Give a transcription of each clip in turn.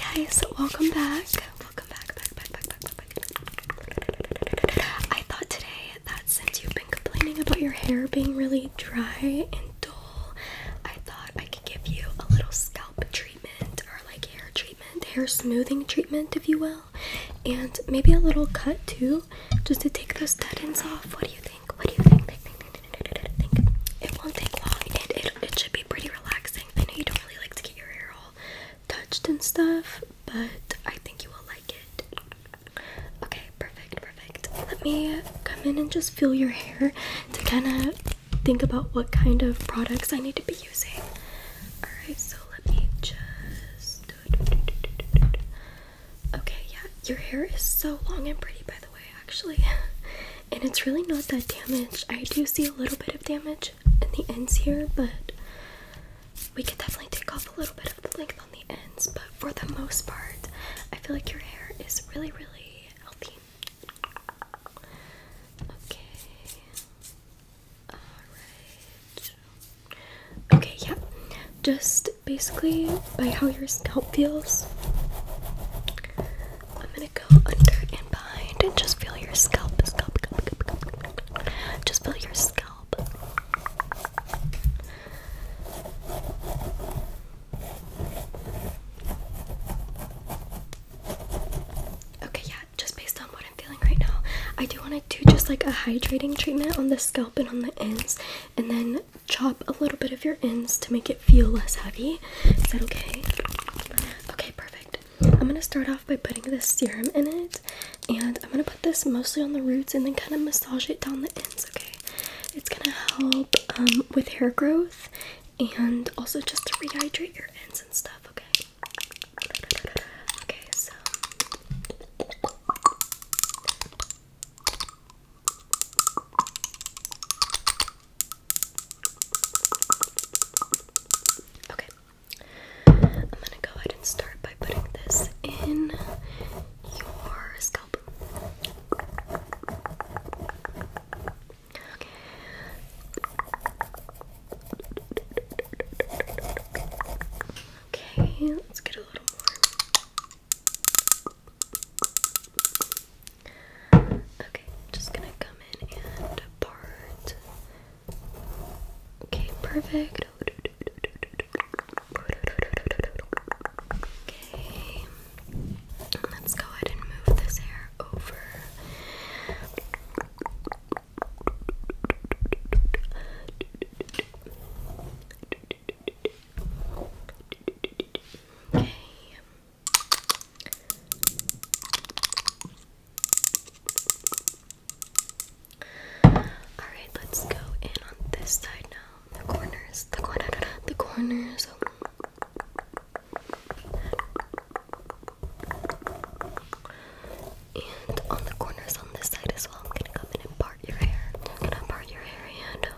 Hey guys, welcome back. Welcome back, back, I thought today that since you've been complaining about your hair being really dry and dull, I thought I could give you a little scalp treatment or like hair treatment, hair smoothing treatment, if you will, and maybe a little cut too, just to take those dead ends off. What do you think? It won't take long, and it, it should be pretty relaxing. I know you don't really like to get your hair all touched and stuff, but I think you will like it. Okay, perfect, perfect. Let me come in and just feel your hair to kind of think about what kind of products I need to be using. Alright, so let me just. Okay, yeah, your hair is so long and pretty, by the way, actually. And it's really not that damaged. I do see a little bit of damage in the ends here, but we could definitely take off a little bit of the length on the ends. But for the most part, I feel like your hair is really, really healthy. Okay. Alright. Okay, yeah just basically by how your scalp feels. I'm gonna go under and behind and just feel your scalp, just feel your scalp. Okay, yeah, just based on what I'm feeling right now, I do want to do just like a hydrating treatment on the scalp and on the ends, and then chop a little bit of your ends to make it feel less heavy. Is that okay? Okay, perfect. I'm gonna start off by putting this serum in it, and I'm gonna put this mostly on the roots and then kind of massage it down the ends, okay? It's gonna help um, with hair growth and also just to rehydrate your ends and stuff, okay? Okay, so. Okay. I'm gonna go ahead and start by putting this in your scalp. Okay. let's get a little Okay, just gonna come in and part. Okay, perfect. Okay, let's go ahead and move this hair over. Okay. Alright, let's go in on this side now. The corners, the corner, the corners. And on the corners on this side as well, I'm gonna come in and part your hair. I'm gonna part your hair and.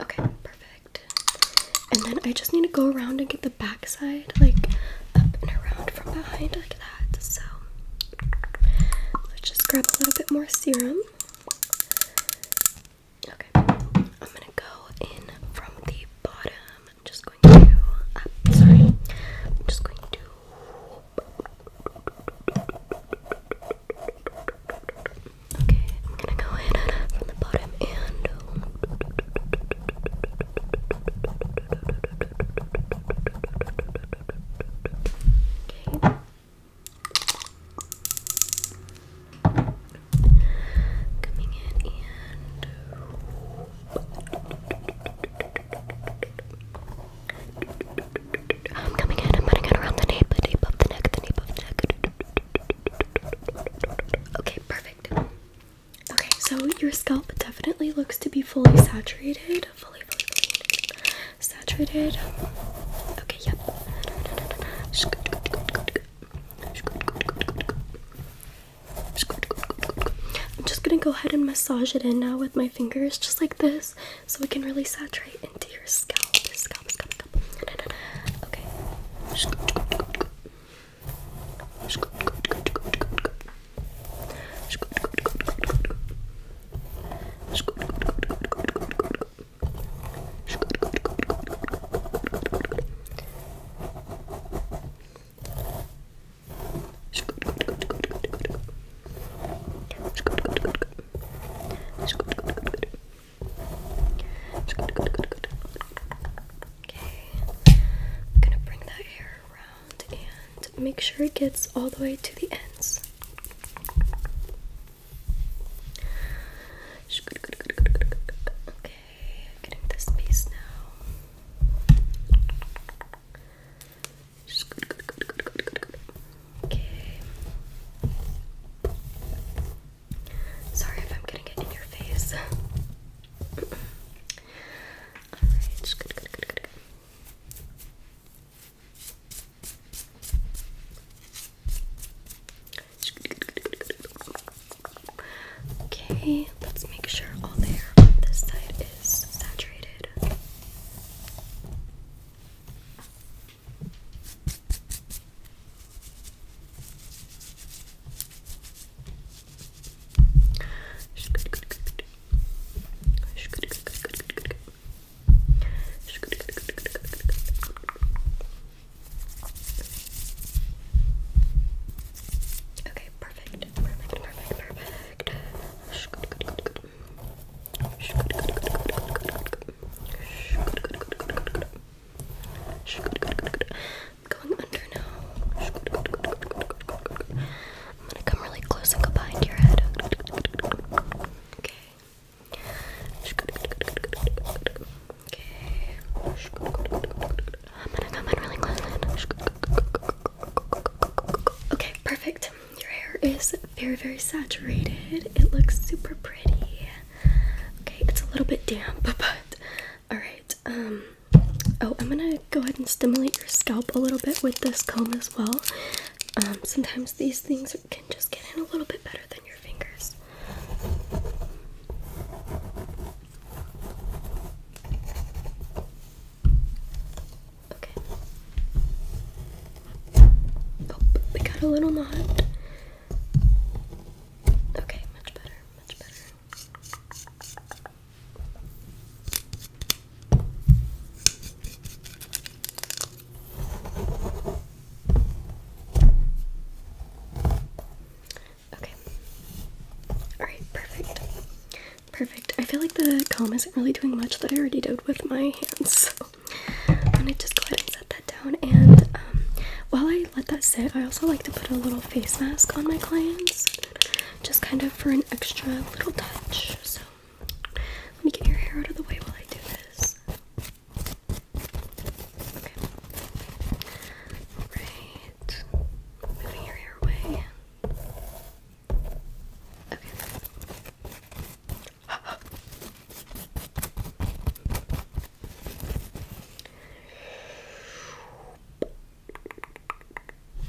Okay, perfect. And then I just need to go around and get the back side, like up and around from behind, like that. So let's just grab a little bit more serum. Okay, I'm gonna go in from the bottom. I'm just going to. Uh, sorry, I'm just going to. Okay, I'm gonna go in from the bottom Okay coming in and coming in, I'm putting it around the nape, the nape of the neck, the nape of the neck. Okay, perfect. Okay, so your scalp definitely looks to be fully saturated. Fully, fully saturated. Okay, yep. I'm just gonna go ahead and massage it in now with my fingers, just like this, so it can really saturate into your scalp. Okay. Okay, I'm gonna bring that hair around and make sure it gets all the way to the ends getting this piece now. Just good, good, good, good, good, good, good. Okay. Sorry if I'm getting it in your face. Alright, just good, good, good, good, good. Okay, let's make sure all the hair on this side is saturated. Okay, perfect. Perfect, perfect, perfect. I'm going under now. I'm gonna come really close and go behind your head. Okay. Okay. I'm gonna come in really close Okay, perfect. Your hair is very, very saturated. It looks super pretty. Okay, it's a little bit damp, but alright. Um oh I'm gonna go ahead and stimulate your scalp a little bit with this comb as well. Um, sometimes these things can just get in a little bit better than your fingers. Okay. Oh, we got a little knot. Okay, much better, much better. Okay. Alright, perfect. Perfect. I feel like the comb isn't really doing much that I already did with my hands, so I'm gonna just go ahead and set that down. And um, while I let that sit, I also like to put a little face mask on my clients, just kind of for an extra little touch. So let me get your hair out of the way while I do this. Okay. Alright. Okay.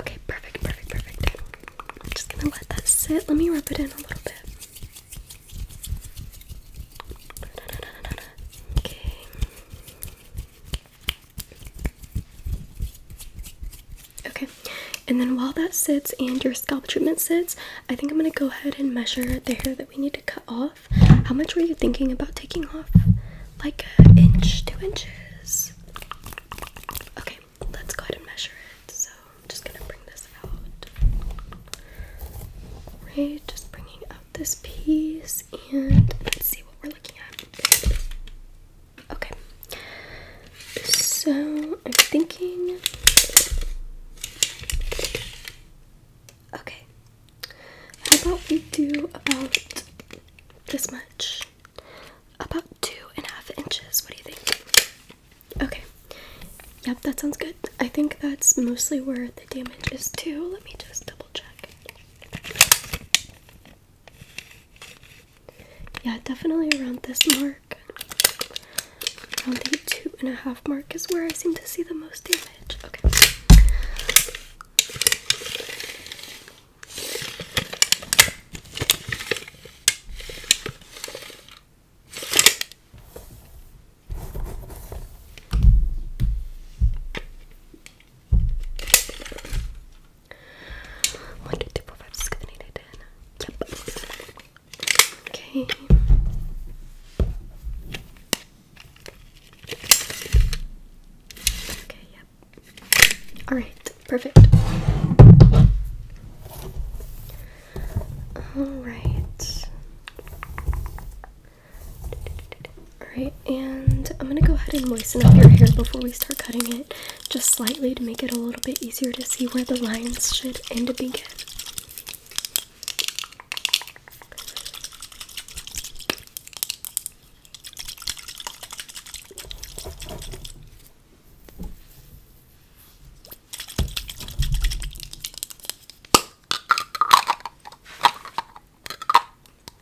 Okay, perfect, perfect, perfect. I'm just gonna let that sit. Let me rub it in a little bit. Okay. Okay, and then while that sits and your scalp treatment sits, I think I'm gonna go ahead and measure the hair that we need to cut off. How much were you thinking about taking off? Like an inch, two inches? Okay, let's go ahead and measure it. So I'm just gonna bring this out. Right, just bringing up this piece and let's see what we're looking at. Okay. So I'm thinking. Okay. How about we do about this much? About two and a half inches. What do you think? Okay. Yep, that sounds good. I think that's mostly where the damage is too. Let me just double check. Yeah, definitely around this mark. Around the two and a half mark is where I seem to see the most damage. Okay. One, two, three, four, five, six, seven, eight, nine, ten. Yep. Okay. Okay, yep. Alright, perfect. Alright. Alright, and I'm gonna go ahead and moisten up your hair before we start cutting it, just slightly to make it a little bit easier to see where the lines should end and begin.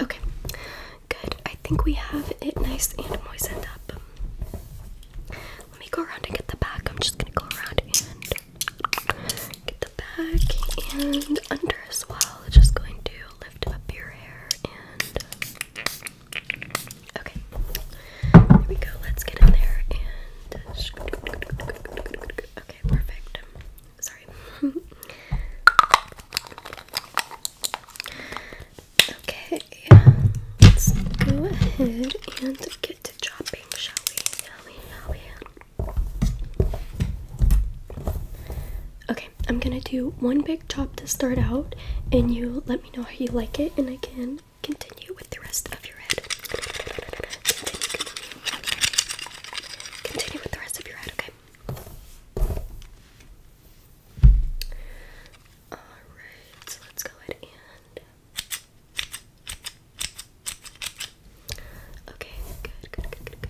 Okay, good. I think we have it nice and moistened up. Let me go around and get the back. I'm just gonna go around and get the back and under as well. Just going to lift up your hair and um, okay. There we go. Let's get in there and okay, perfect. Sorry. okay, let's go ahead and get to chopping, shall we? Shall we? Shall we? I'm gonna do one big chop to start out, and you let me know how you like it, and I can continue with the rest of your head. Continue, with the rest of your head, okay? Alright, so let's go ahead and. Okay, good, good, good, good.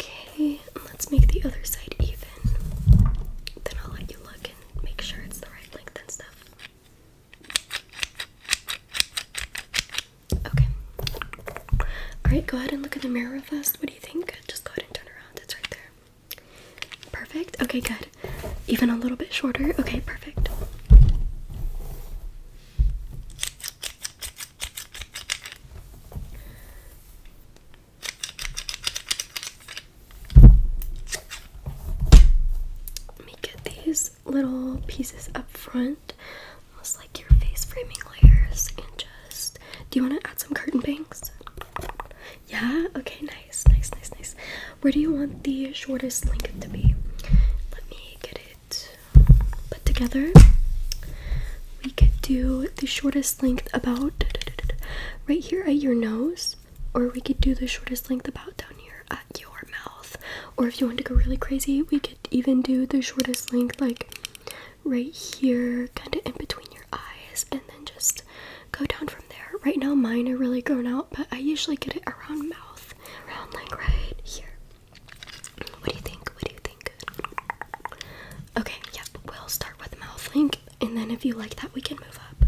Okay, let's make the other side even. Then I'll let you look and make sure it's the right length and stuff. Okay. Alright, go ahead and look in the mirror first. What do you think? Just go ahead and turn around. It's right there. Perfect. Okay, good. Even a little bit shorter. Okay, perfect. Let me get these little pieces up front, almost like your face framing layers, and just do you want to add some curtain bangs? Yeah, okay, nice, nice, nice, nice. Where do you want the shortest length to be? Let me get it put together. We could do the shortest length about right here at your nose, or we could do the shortest length about down here at your mouth. Or if you want to go really crazy, we could even do the shortest length like right here, kind of in between your eyes, and then just go down from there. Right now, mine are really grown out, but I usually get it around mouth, around like right here. What do you think? What do you think? Okay, yep, we'll start with mouth link, and then if you like that, we can move up.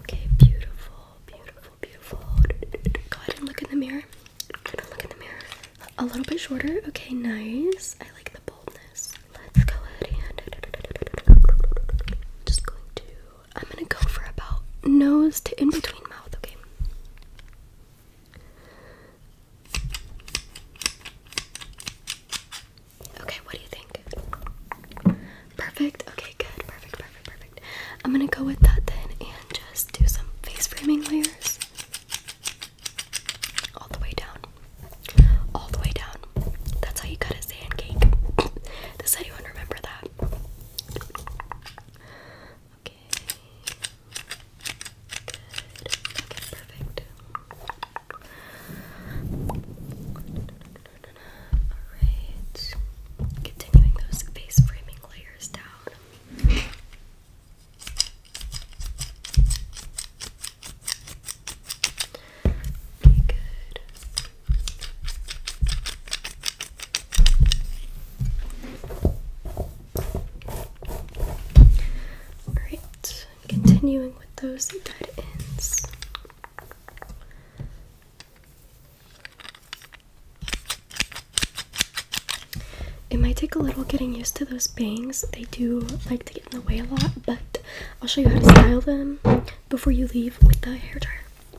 Okay, beautiful, beautiful, beautiful. Go ahead and look in the mirror. Look in the mirror. A little bit shorter. Okay, nice. I like the boldness. Let's go ahead and just going to I'm gonna go for about nose to in between mouth, okay? Okay, what do you think? Perfect? Okay, good. Perfect, perfect, perfect. I'm gonna go with that then and just do some face framing layers. All the way down. All the way down. That's how you cut a sand cake. This I do not remember that. Okay. Good. perfect. Alright. Continuing those face framing layers down. good. Alright, continuing with those dead ends. It might take a little getting used to those bangs. They do like to get in the way a lot, but I'll show you how to style them before you leave with the hair dryer.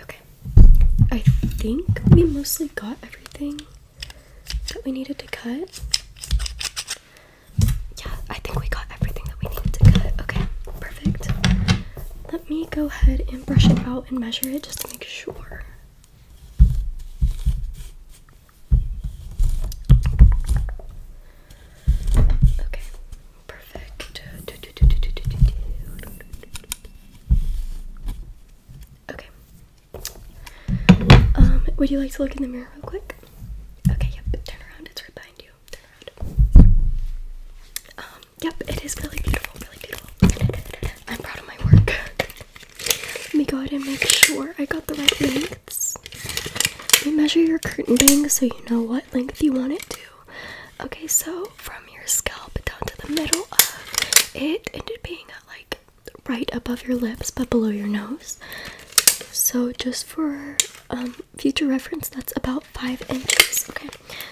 Okay, I think we mostly got everything that we needed to cut. Yeah, I think we got everything that we needed to cut. Okay, perfect. Let me go ahead and brush it out and measure it just to make sure. Okay, perfect. Okay. Um, would you like to look in the mirror real quick? Okay, yep, turn around, it's right behind you. Turn around. Um, yep, it is really beautiful, really beautiful. I'm proud of my work. Let me go ahead and make sure I got the right name lengths. Let me measure your curtain bangs so you know what length you want it to. Okay, so from your scalp down to the middle of it ended being like right above your lips but below your nose. So just for um, future reference, that's about five inches. Okay,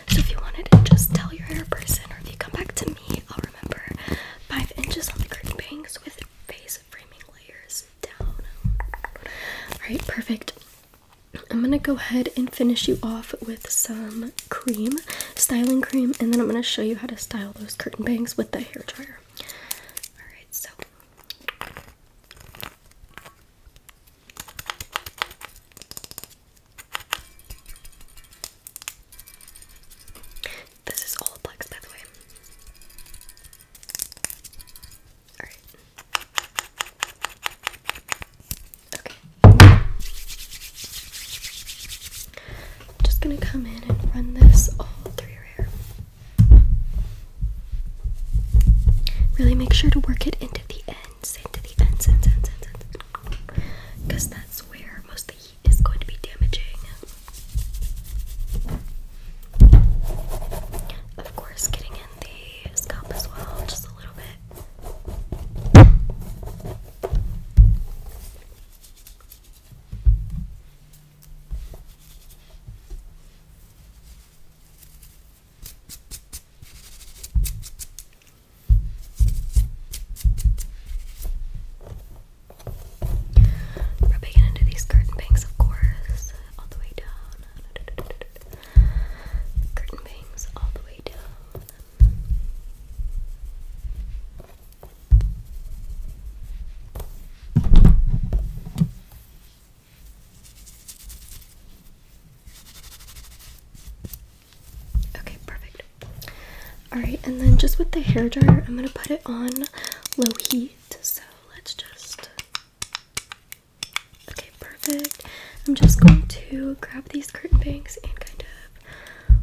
so if you wanted to just tell your hair person or if you come back to me, I'll remember five inches on the curtain bangs with face framing layers Alright, perfect. I'm gonna go ahead and finish you off with some cream, styling cream, and then I'm gonna show you how to style those curtain bangs with the hair dryer. Alright, so. This is all flex, by way. Alright. Okay. I'm just gonna come in and run this all through your hair. Really make sure to work it into the ends, into the ends, ends, ends, ends, ends. Because that's where most of the heat is going to be damaging. Of course, getting in the scalp as well, just a little bit. Rubbing it into these curtain bangs, of course, all the way down. Curtain bangs all the way down. Okay, perfect. Alright, and then just with the hair dryer, I'm gonna put it on low heat. So let's just Okay, perfect. I'm just going to grab these curtain bangs and kind of.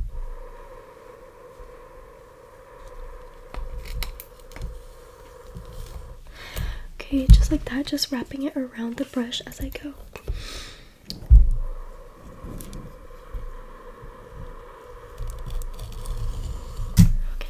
Okay, just like that, just wrapping it around the brush as I go. Okay,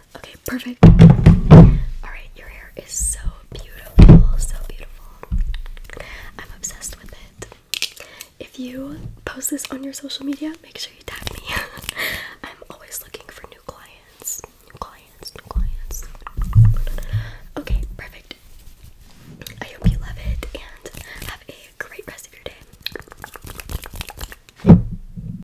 Okay, perfect. Alright, your hair is so beautiful, so beautiful. I'm obsessed with it. If you post this on your social media, make sure you tag me. I'm always looking for new clients. New clients, new clients. Okay, perfect. I hope you love it and have a great rest of your day.